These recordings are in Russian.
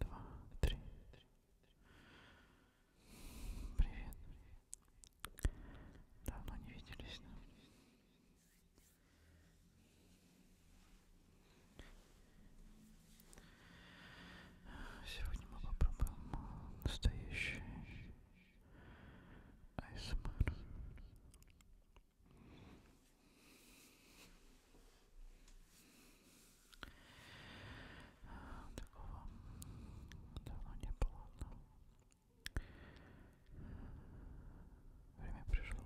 два, три. Привет. Давно не виделись. Да? Сегодня мы попробуем настоящий ASMR. Такого давно не было. Время пришло.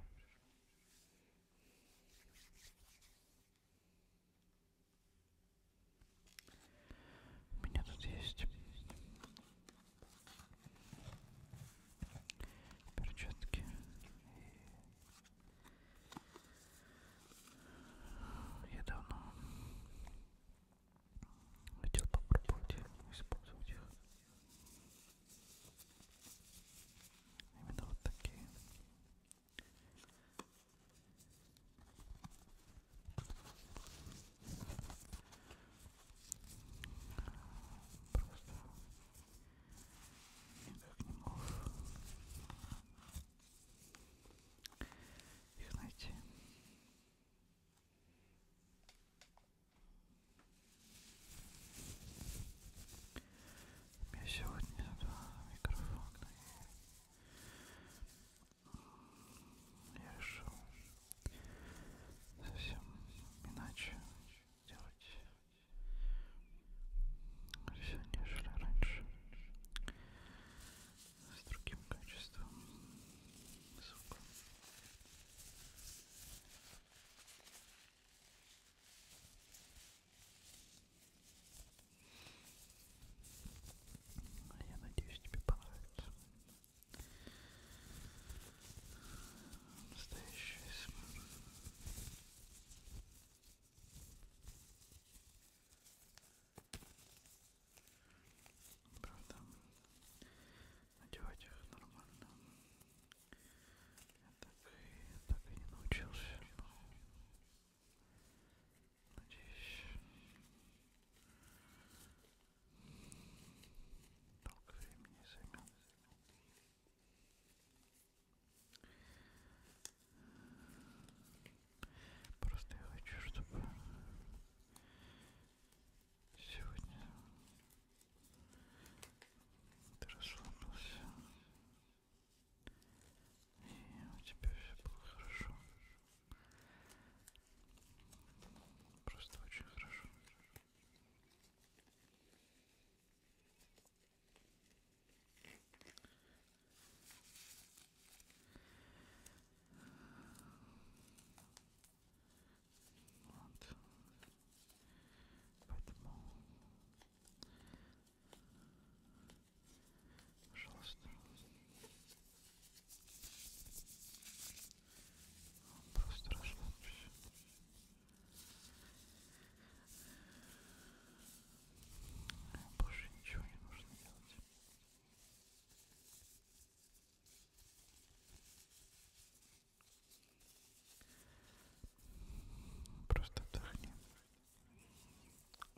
У меня тут есть перчатки и я давно хотел попробовать использовать их. Именно вот такие. Просто Никак не мог их найти. У меня сегодня два микрофона. Я решил совсем иначе делать все нежели раньше с другим качеством звука а я надеюсь тебе понравится настоящая смысл Правда, надевать их нормально. Я так и, так и не научился, но надеюсь, долго времени займет. Просто я хочу, чтобы сегодня ты расслабился. И у тебя все было хорошо. Просто очень хорошо. Вот. Поэтому, пожалуйста, просто расслабься. Больше ничего не нужно делать. Просто отдохни.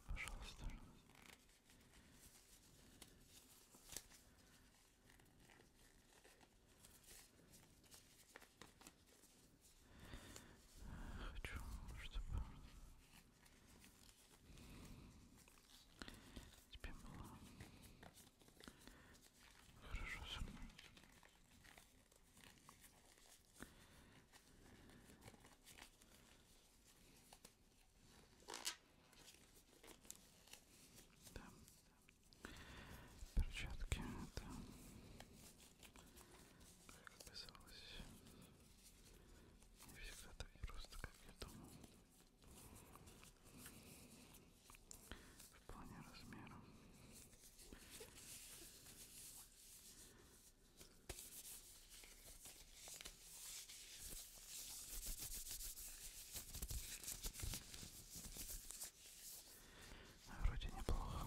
Пожалуйста. Хорошо. Хочу, чтобы тебе было хорошо со мной. Да. Перчатки это как оказалось, не всегда так просто, как я думал. В плане размера. Вроде неплохо.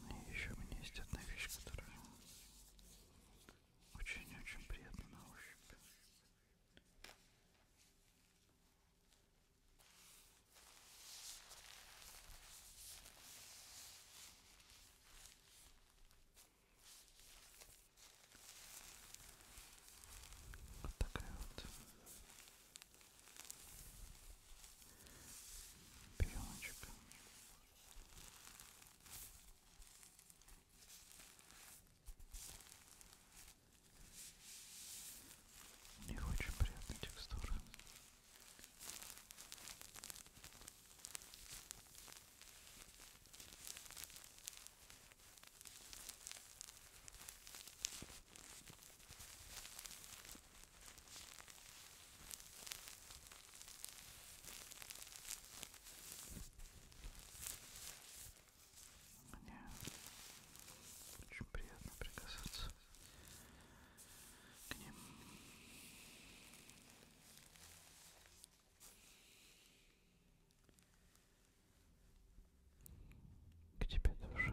Ну, и еще у меня есть одна вещь, которая очень-очень приятна на ощупь. Вот такая вот пеночек. У них очень приятная текстура. Мне очень приятно прикасаться к ним к тебе душа.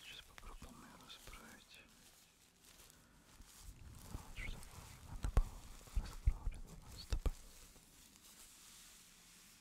Сейчас попробуем ее расправить. Вот, чтобы она была расправлена с тобой.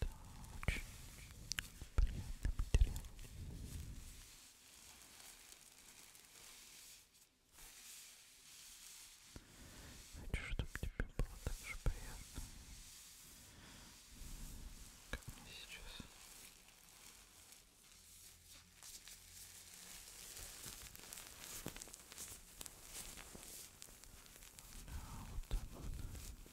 Да, очень приятный материал. Хочу, чтобы тебе было так же приятно, как мне сейчас. Да, вот так вот. Расслабься.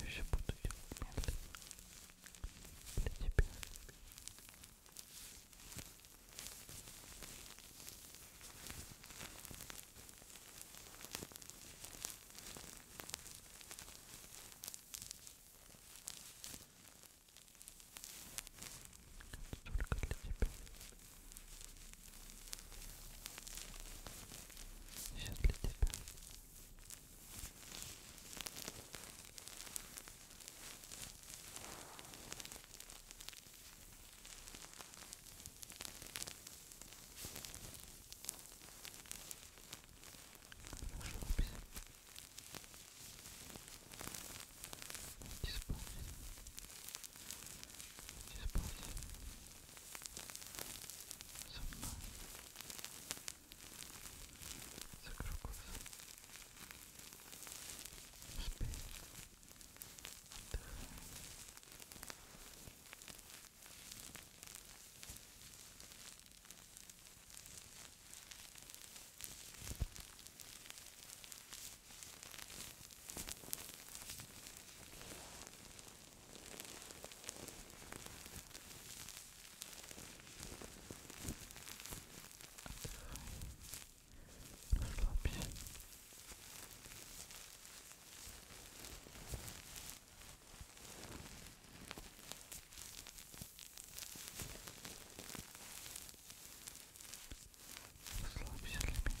Я все буду делать медленно для тебя. Ой, только для тебя. Все для тебя. Расслабься. Иди спать. Иди спать. Со мной. Закрой глаза. Спи. Отдыхай. Спи. Расслабься. Расслабься для меня.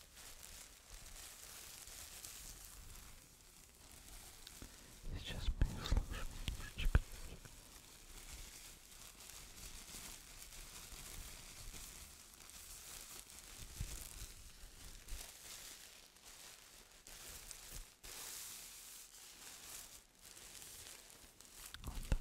Сейчас мы услышим немножечко. Вот так.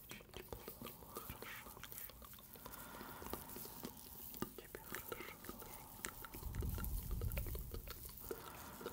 очень тепло, хорошо. Тебе хорошо. Спасибо.